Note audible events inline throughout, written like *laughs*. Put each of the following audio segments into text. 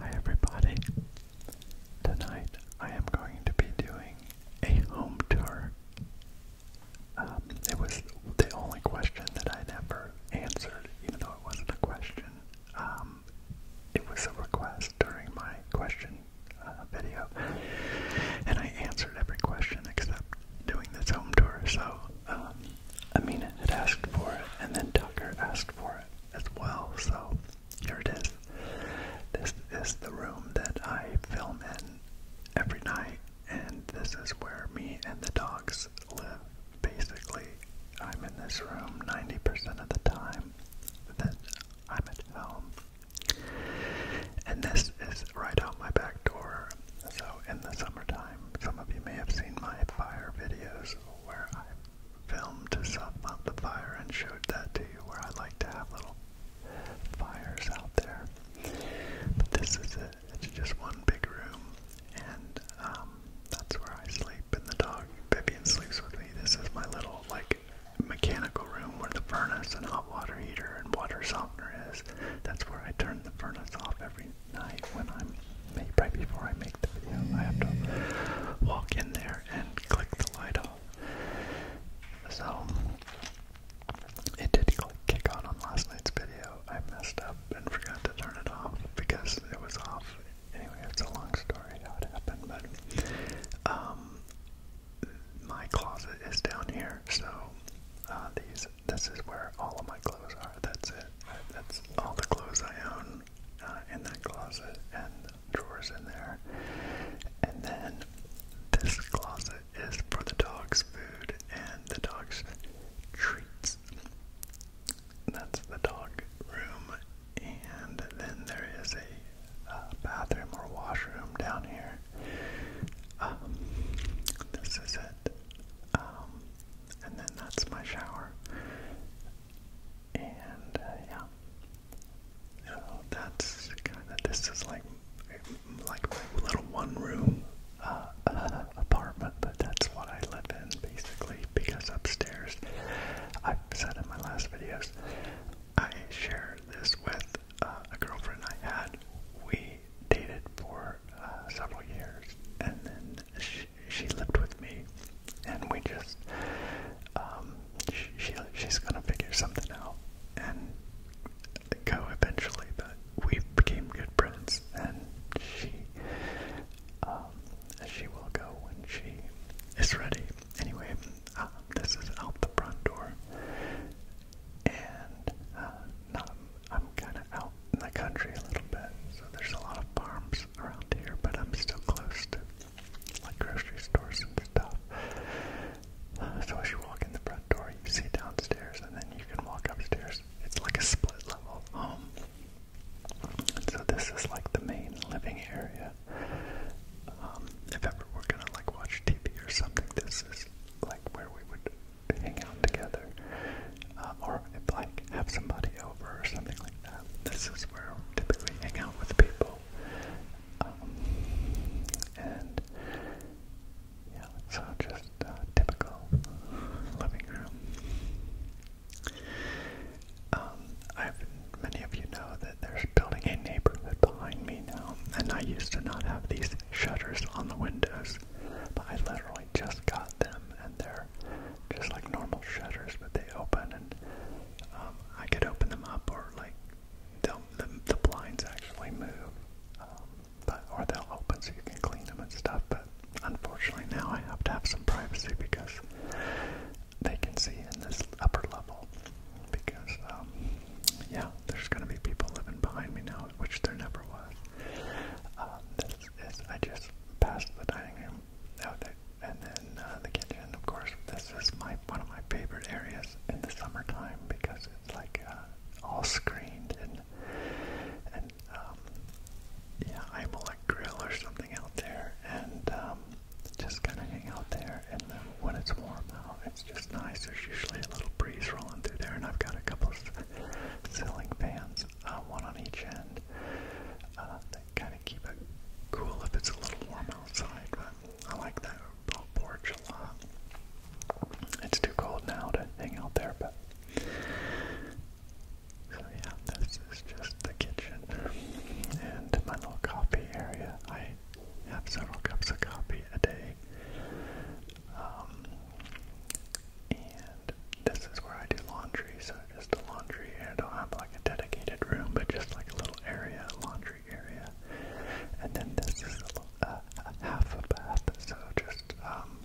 Hi everybody. Tonight I am going to be doing a home tour. Um, it was the only question that I never answered, even though it wasn't a question. Um, it was a request during my question uh, video, and I answered every question except doing this home tour. So um, Amina had asked for it, and then Tucker asked for it as well. So here it is. This is the room that I film in every night, and this is where me and the dogs live. Basically, I'm in this room 90% of the time that I'm at home. And this is right out my back door. So in the summertime, some of you may have seen my fire videos where i am filmed stuff about the fire and showed that to you, where I like to have little fires out there. But this is it. It's just one big room, and um, that's where I sleep. And the dog Vivian sleeps with me. This is my little like mechanical room where the furnace and hot water heater and water softener is. That's where I turn the furnace off every night when I'm right before I make the video. I have to walk in there and click the light off. So it did kick on on last night's video. I messed up and forgot to turn it off because it was off. Anyway, it's a long story how it happened, but um, my closet is down here, so uh, these this is where all of my clothes are. That's it. That's all the clothes I own uh, in that closet and drawers in there. And then this closet is for the dog's food and the dog's treats. That's the dog room. And then there is a uh, bathroom or washroom down here. Um, this is it. Um, and then that's my shower. And uh, yeah, so that's kind of this is like like my little one room uh, uh, *laughs* apartment, but that's what I live in basically because upstairs, I've said in my last videos, I share this with uh, a girlfriend I had. We dated for uh, several years, and then she she, lived with me, and we just um, she, she's gonna figure something out and go eventually. But we became good friends, and she um, she will go when she is ready. Anyway, um, this is out the front door, and uh, I'm kind of out in the country a little bit, so there's a lot of farms stores around here, but I'm still close to like grocery stores and stuff. Uh, so as you walk in the front door, you see downstairs, and then you can walk upstairs. It's like a split level home. And so this is like the main living area. Um, if ever we're gonna like watch TV or something, this is like where we would hang out together uh, or like have somebody over or something like that. This is where I typically hang out with people. Um, and yeah, so just uh, typical living room. Um, I've, many of you know that there's building a neighborhood behind me now, and I used to not have these shutters on the windows, but I literally just got them and they're just like normal shutters, but they open and um, I could open them up or like they'll, the, the blinds actually move, um, but or they'll open so you can clean them and stuff. But unfortunately now I have to have some privacy because they can see in this upper level because um, yeah, there's gonna be people living behind me now, which there never was. Um, this is I just passed the dining room oh, that, and then uh, the kitchen, of course. This is my one of my favorite areas in the summertime because it's like uh, all screened and and um, yeah, I will like grill or something out there and um, just kind of hang out there. And then when it's warm out, it's just nice. There's usually a little breeze rolling through there, and I've got a couple of ceiling fans, uh, one on each end uh, kind of keep it cool if it's a little warm outside. But I like that out porch a lot. It's too cold now to hang out there, but so yeah, this is just the kitchen and my little coffee area. I have several cups of coffee a day. Um, and this is where I do laundry, so just the laundry. I don't have like a dedicated room, but just like a little area, laundry area. And then this is a, a, uh, a half a bath, so just um,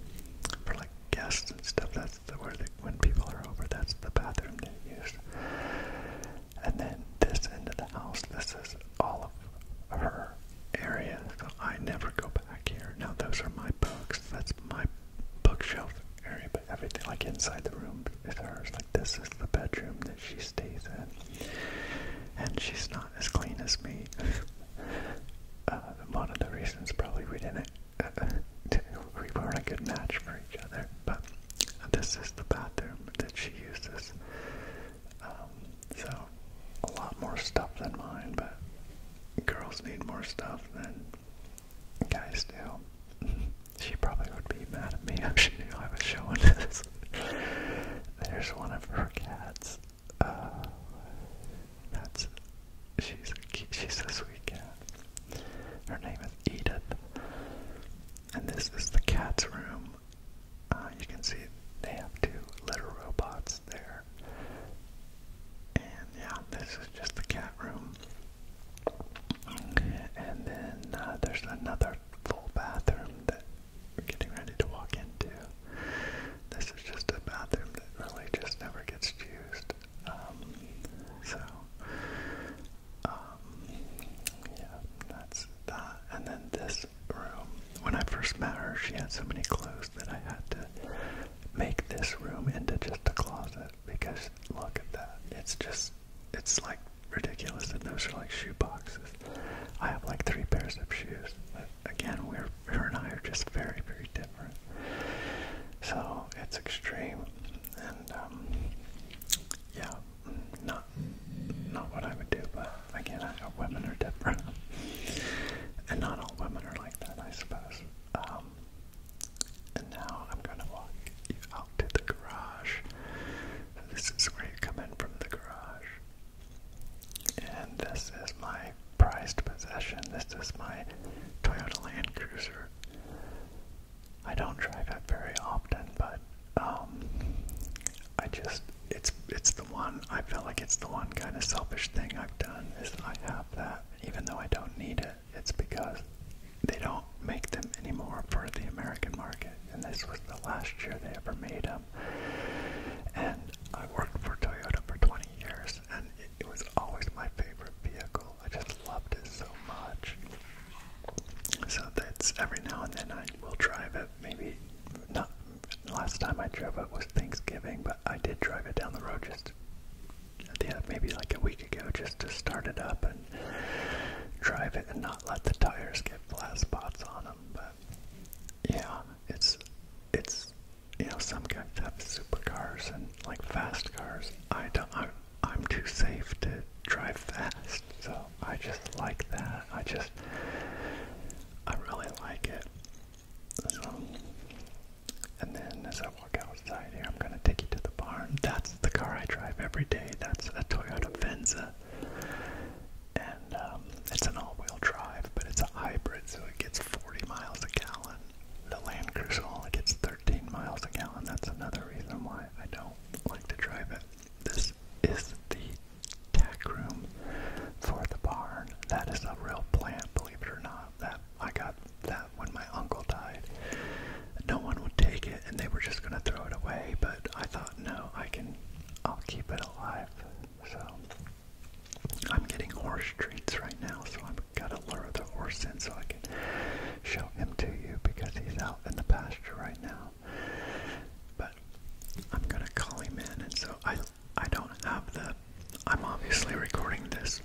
for like guests and stuff. That's the, where they, when people are over, that's the bathroom they use. And then this end of the house, this is all of her area, so I never go back here. Now those are my books. That's my bookshelf area, but everything like inside the room is hers. Like this is the bedroom that she stays in, and she's not as clean as me. *laughs* uh, one of the reasons probably we didn't, uh, *laughs* we weren't a good match for each other. But this is the bathroom that she uses. Um, so a lot more stuff than mine, but girls need more stuff than Guys do. *laughs* She probably would be mad at me *laughs* if she knew I was showing this. There's one of her cats. Uh, that's she's a she's a sweet cat. Her name is Edith, and this is the cat's room. Uh, you can see they have two litter robots there. And yeah, this is just the cat room. And then uh, there's another full bathroom that we're getting ready to walk into. This is just a bathroom that really just never gets used. Um, so, um, yeah, that's that. And then this room, when I first met her, she had so many clothes that I had to make this room into just a closet because look at that. It's just, it's like ridiculous that those are like shoe boxes. I have like three pairs of shoes. But again, we're, her and I are just very, very different. So it's extreme. And um, yeah, not, not what I would do, but again, I, women are different. *laughs* and not all women are like that, I suppose. Um, and now I'm going to walk you out to the garage. So this is where you come in from the garage. And this is my prized possession. This is my Toyota Land Cruiser. I don't drive it very often, but um, I just it's it's the one I feel like it's the one kind of selfish thing I've done is I have that even though I don't need it, it's because they don't make them anymore for the American market. And this was the last year they ever made them. And I worked for Toyota for 20 years, and it, it was always my favorite vehicle. I just loved it so much. So that's every now and then I will drive it. Maybe not. Last time I drove it was Thanksgiving, but I did drive it down the road just yeah, maybe like a week ago just to start it up and drive it and not let the tires get flat spots on them. But yeah, it's it's you know some guys have supercars and like fast cars. I don't. I'm, I'm too safe to drive fast, so I just like that. I just I really like it as well. And then as I walk outside here, I'm gonna take you to the barn. That's the car I drive every day. That's a Toyota Venza. And um, it's an all-wheel drive, but it's a hybrid, so it gets 40 miles a gallon. The Land Cruiser only gets 13 miles a gallon. That's another reason why I don't like to drive it. This is the tack room for the barn. That is a real plant, believe it or not that I got that when my uncle died. No one would take it, and they were just gonna throw it away. But I thought, no, I can, I'll keep it alive. So I'm getting horse treats right now, so I've got to lure the horse in so I can show him to you because he's out in the pasture right now. But I'm gonna call him in, and so I I don't have the. I'm obviously recording this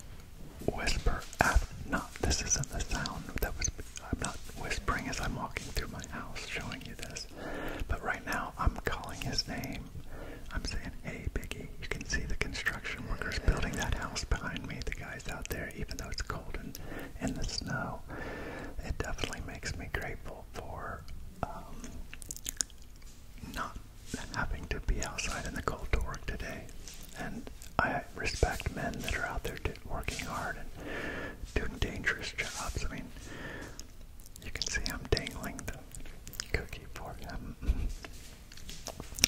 whisper app. Not this isn't the sound that was. I'm not whispering as I'm walking through my house, showing you this. But right now, I'm calling his name. I'm saying, "Hey, Biggie." You can see the construction workers building that house behind me. The guys out there, even though it's cold and in the snow, it definitely makes me grateful for um, not having to be outside in the cold to work today. And I respect men that are out there working hard and doing dangerous jobs. I mean, you can see I'm dangling the cookie for him. *laughs*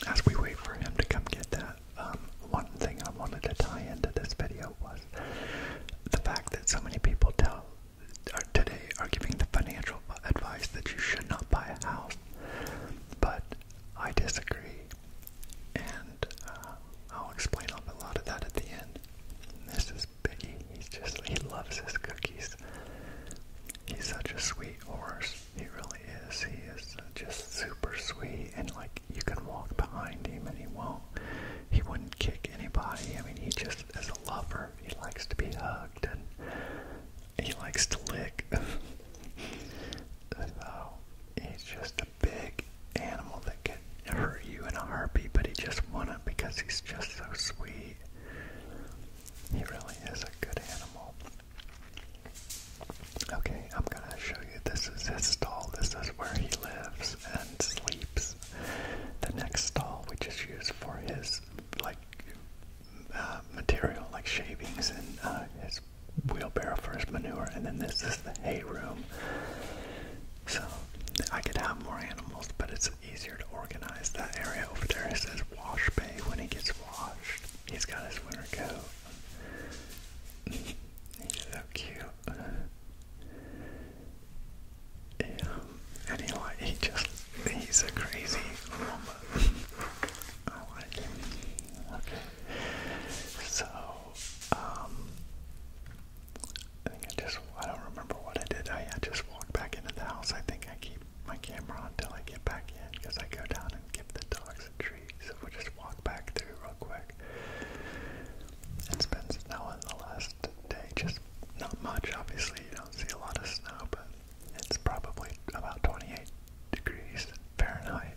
As we wait for him to come get that, um, one thing I wanted to tie into this video was the fact that so many people tell are today are giving the financial advice that you should not buy a house, but I disagree, and uh, I'll explain a lot of that at the end. This is Biggie. He's just he loves his cookies. He's such a sweet horse. He really is. He is just super sweet, and like you can walk behind him, and he won't. He wouldn't kick anybody. I mean, he just is a lover. He likes to be hugged, and he likes to lick. *laughs* so he's just a big animal that can hurt you in a heartbeat, but he just wants not because he's just so sweet. He really is a good animal. Okay, I'm gonna show you. This is his stall. This is where he lives and sleeps. The next stall, which is used for his like uh, material like shavings and uh, his wheelbarrow for his manure, and then this is the hay room. So I could have more animals, but it's easier to organize that area over there. It says wash bay when he gets washed. He's got his winter coat. *laughs* He's so cute. Yeah. Um, he just he's a crazy lumber. *laughs* I like him. Okay. So um I think I just I don't remember what I did. I, just walked back into the house. I think I keep my camera on until I get back in because I go down and give the dogs a treat. So we'll just walk back through real quick. It's been snowing the last day, just not much obviously, you don't see a lot of snow, but it's probably about 28 degrees Fahrenheit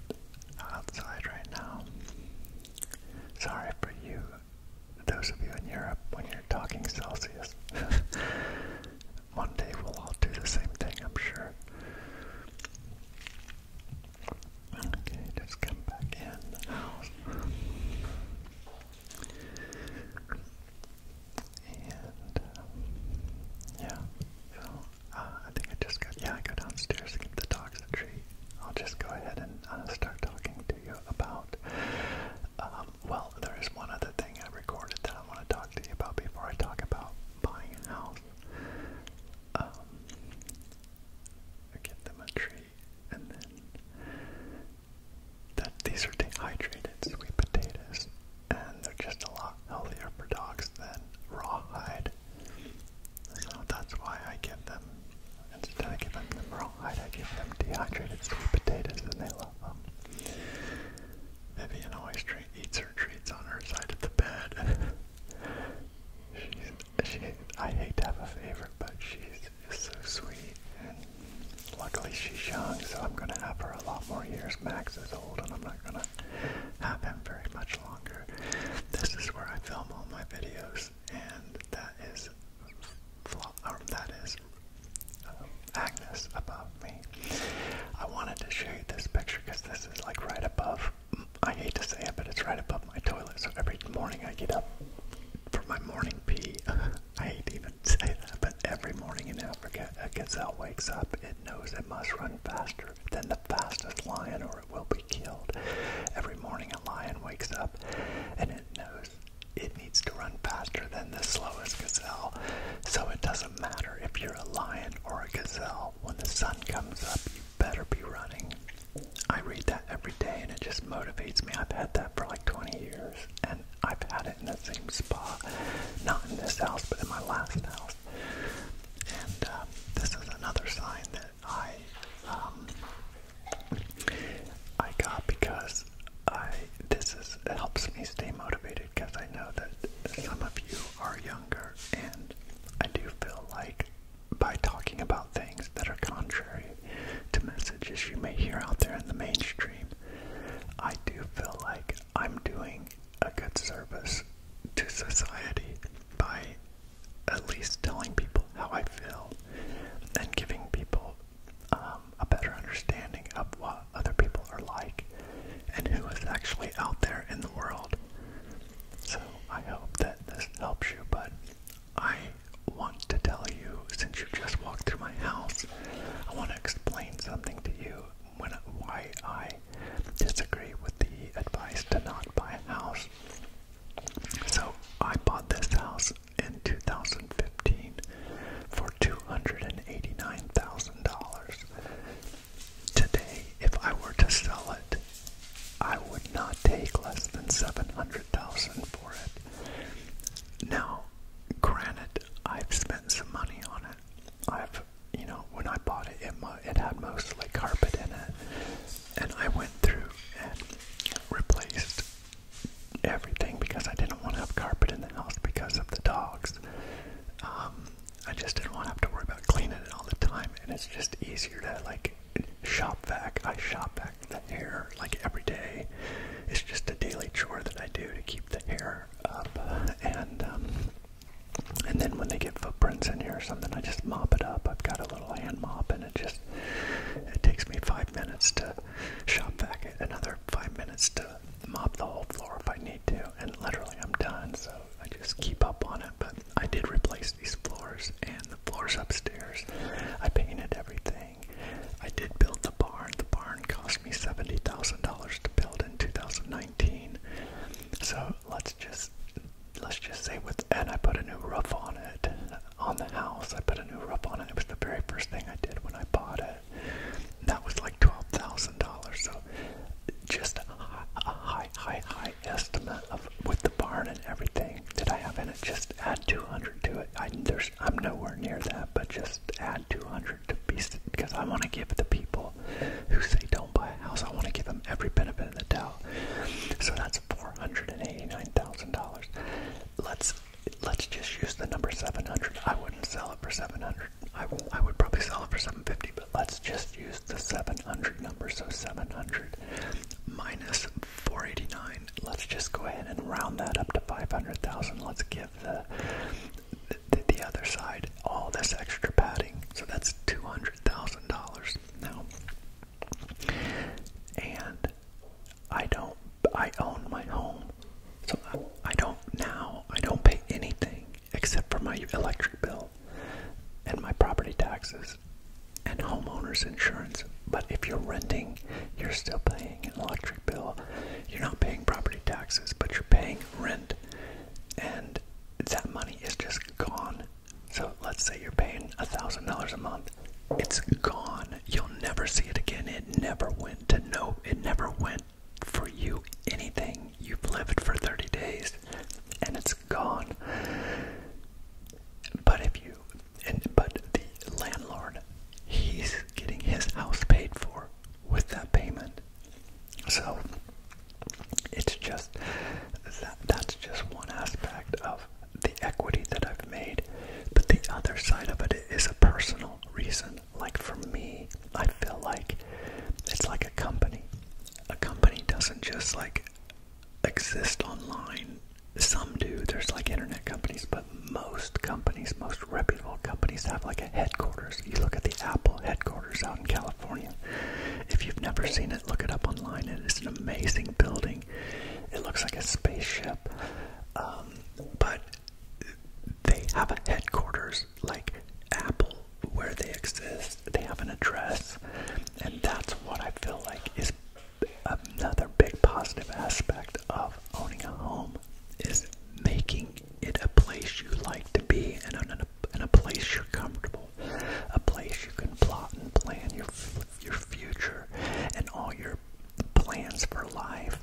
outside right now. Sorry for you, those of you in Europe, when you're talking Celsius. *laughs* One day we'll all do the same thing, I'm sure. Okay, just come back in the house. And um, yeah, so uh, I think I just got, yeah, I go downstairs to the dogs I'll just go ahead and uh, start talking to you about, um, well, there is one other thing I recorded that I want to talk to you about before I talk about buying a house. Um, I give them a and then that these are dehydrated sweet potatoes, and they're just a lot healthier for dogs than raw hide. that's why I give them, instead of giving them rawhide, I give them dehydrated sweet potatoes, and they love them. Vivian always treat, eats her treats on her side of the bed. *laughs* she's, she, I hate to have a favorite, but she's so sweet Luckily, she's young, so I'm going to have her a lot more years. Max is old, and I'm not going to have him very much longer. This is where I film all my videos, and that is that is uh, Agnes above me. I wanted to show you this picture because this is like right above. I hate to say it, but it's right above my toilet. So every morning I get up for my morning pee. *laughs* I hate to even *laughs* say that, but every morning in Africa, a gazelle wakes up. It knows it must run faster than the fastest lion or it will be killed. Every morning, a lion wakes up and it knows it needs to run faster than the slowest gazelle. So it doesn't matter if you're a lion or a gazelle. When the sun comes up, you better be running. I read that every day and it just motivates me. I've had that for like 20 years and I've had it in the same spa, not in this house, but in my last house. And uh, this is another sign that I um, I got because I this is it helps me stay motivated because I know that some of you are younger, and I do feel like by talking about things that are contrary to messages you may hear out there in the mainstream. I do feel like I'm doing a good service to society by at least telling people how I feel and giving people um, a better understanding of what other people are like and who is actually out there in the world. So I hope that this helps you, but I want to tell you since you just walked through my house. I want to explain something to you why I disagree with the advice to not buy a house. So I bought this house in 2015 for $289,000. Today, if I were to sell it, I would not take less than $700,000 for it. Now, granted, I've spent some money on it. I've, you know, when I bought it, it, it had mostly carpet in it, and I went through and replaced everything because I didn't want to have carpet in the house because of the dogs. Um, I just didn't want to have to worry about cleaning it all the time, and it's just easier to like shop vac. I shop vac the hair hair like every day. It's just a daily chore that I do to keep the hair up, and um, and then when they get footprints in here or something, I just mop it up. I've got a little hand mop, and it just it takes me five minutes to shop back it, another five minutes to mop the whole floor if I need to, and literally I'm done. So I just keep up on it. But I did replace these floors and the floors upstairs. I painted everything. I did build the barn. The barn cost me $70,000 to build in 2019. So let's just let's just say with and I put a new roof on it on the house. I put a new roof on it. It was the very first thing I did when I bought it. That was like $12,000. So just a high, high, high estimate of with the barn and everything that I have in it. Just add 200 to it. I'm nowhere near that but just add 200 to be because I want to give the people who say don't buy a house, I want to give them every benefit in the doubt. So that's $489,000. Let's let's just use the number 700. I wouldn't sell it for 700. I, I would probably sell it for 750, but let's just use the 700 number. So 700 minus 489 let's just go ahead and round that up to 500,000. Let's give the, the other side all this extra padding. So that's $200,000 now. And I don't I own my home. So I don't now I don't pay anything except for my electric bill and my property taxes and homeowners insurance. But if you're renting, you're still paying an electric bill. You're not paying property taxes, but you're paying rent. And that money is just gone. So let's say you're paying $1,000 a month. It's gone. You'll never see it again. It never went to no, it never went for you anything. You've lived for 30 days and it's gone. But if you and but the landlord he's getting his house paid for with that payment so it's just that, that's just one aspect of the equity that I've made but the other side of it is a personal reason like for me I feel like it's like a company a company doesn't just like exist online some do. There's like internet companies, but most companies, most reputable companies, have like a headquarters. You look at the Apple headquarters out in California. If you've never seen it, look it up online. It is an amazing building. It looks like a spaceship, um, but they have a headquarters like Apple where they exist. They have an address, and that's what I feel like is another big positive aspect of owning a home is making it a place you like to be and a, and a place you're comfortable, a place you can plot and plan your your future and all your plans for life.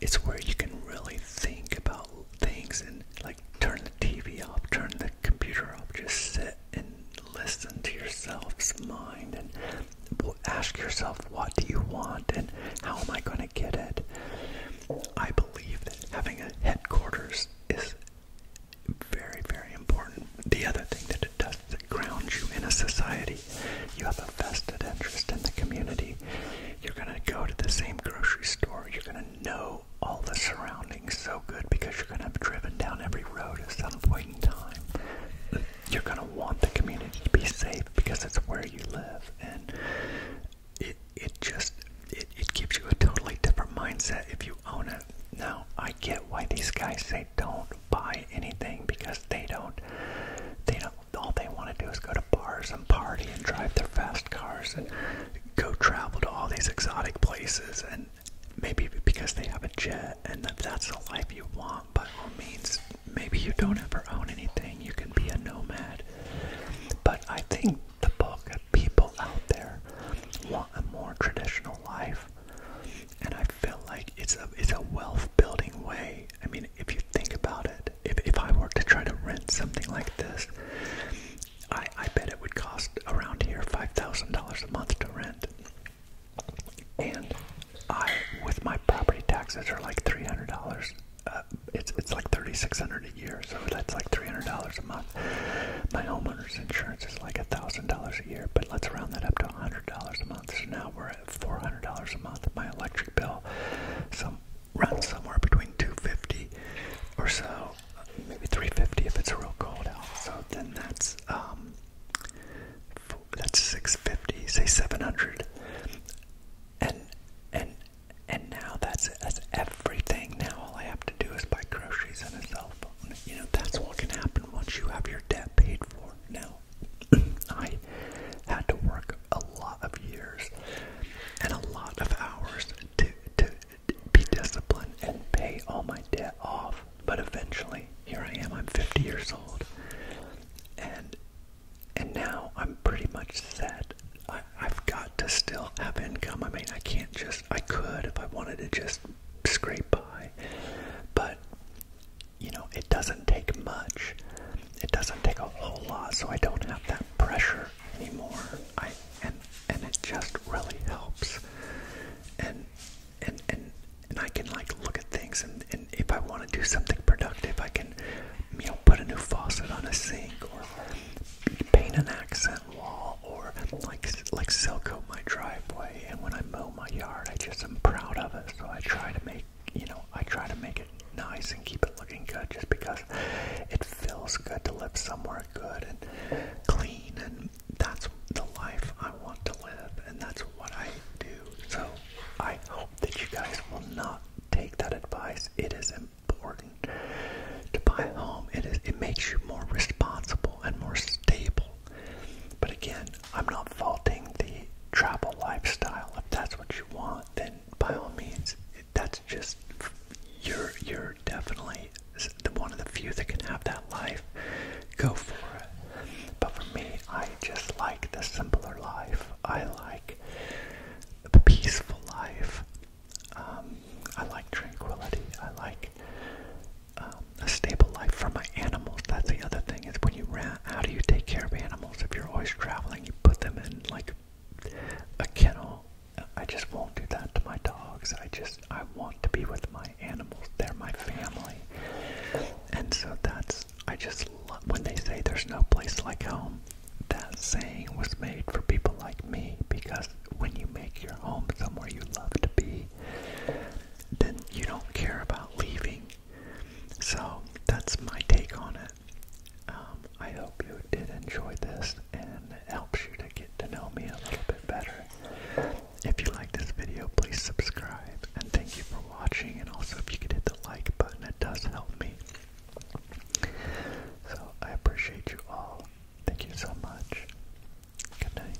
It's where you can really think about things and like turn the TV off, turn the computer off, just sit and listen to yourself's mind and ask yourself, what do you want and how am I going to get it? I believe that having a headquarters is very, very important. The other thing that it does is it grounds you in a society. You have a vested interest in the community. You're going to go to the same grocery store. You're going to know all the surroundings so good because you're going to have driven down every road at some point in time you're going to want the community to be safe because it's where you live and it it just it, it gives you a totally different mindset if you own it now i get why these guys say don't buy anything because they don't they don't all they want to do is go to bars and party and drive their fast cars and go travel to all these exotic places and maybe because they have a jet and that's the life you want by all means, maybe you don't ever own anything, you can be a nomad. But I think the bulk of people out there want a more traditional life, and I feel like it's a it's a wealth building way. I mean, if you think about it, if if I were to try to rent something like this, I I bet it would cost around here five thousand dollars a month to rent. And I, with my property taxes, are like three hundred dollars. Uh, it's it's like thirty six hundred a year, so that's like three hundred dollars a month. My homeowner's insurance is like a thousand dollars a year, but let's round that up to hundred dollars a month. So now we're at four hundred dollars a month. My electric bill, some runs somewhere between two fifty or so, maybe three fifty if it's real cold out. So then that's um, that's 650, say 700. And and now that's that's everything. Now all I have to do is buy groceries and a cell phone. You know, that's what can happen once you have your debt paid for. Now *clears throat* I had to work a lot of years and a lot of hours to to be disciplined and pay all my debt off. But eventually, here I am. I'm 50 years old, and and now I'm pretty much set. I, I've got to still have income. I mean, I can't just. I could if I wanted to just scrape by, but you know, it doesn't take much. It doesn't take a whole lot, so I don't have that pressure anymore. I and and it just really helps. And and and and I can like look at things and, and if I want to do something productive I can you know put a new faucet on a sink or paint an accent wall or like like silcoat my driveway and when I mow my yard I just am proud of it so I try to make you know I try to make it nice and keep it looking good just because it feels good to live somewhere good and clean and that's the life I want to live and that's what I do so I hope that you guys will not take that advice. It is important to buy a home. It is it makes you more responsible and more stable. But again, I'm not faulting the travel lifestyle. If that's what you want, then by all means, that's just you're you're definitely one of the few that can have that life. Go for it. But for me, I just like the simpler life. I like the peaceful life. Um, I like tranquility. I like um, a stable life for my animals. That's the other thing is when you how do you take care of animals? If you're always traveling, you put them in like a kennel. I just won't do that to my dogs. I just, I want to be with my animals. They're my family. And so that's I just love when they say there's no place like home. That saying was made for people like me because when you make your home somewhere you love to be, then you don't care about leaving. So that's my take on it. Um, I hope you did enjoy this and it helps you to get to know me a little bit better. If you like this video, please subscribe and thank you for watching. And also, if you could hit the like button, it does help me. So, I appreciate you all. Thank you so much. Good night.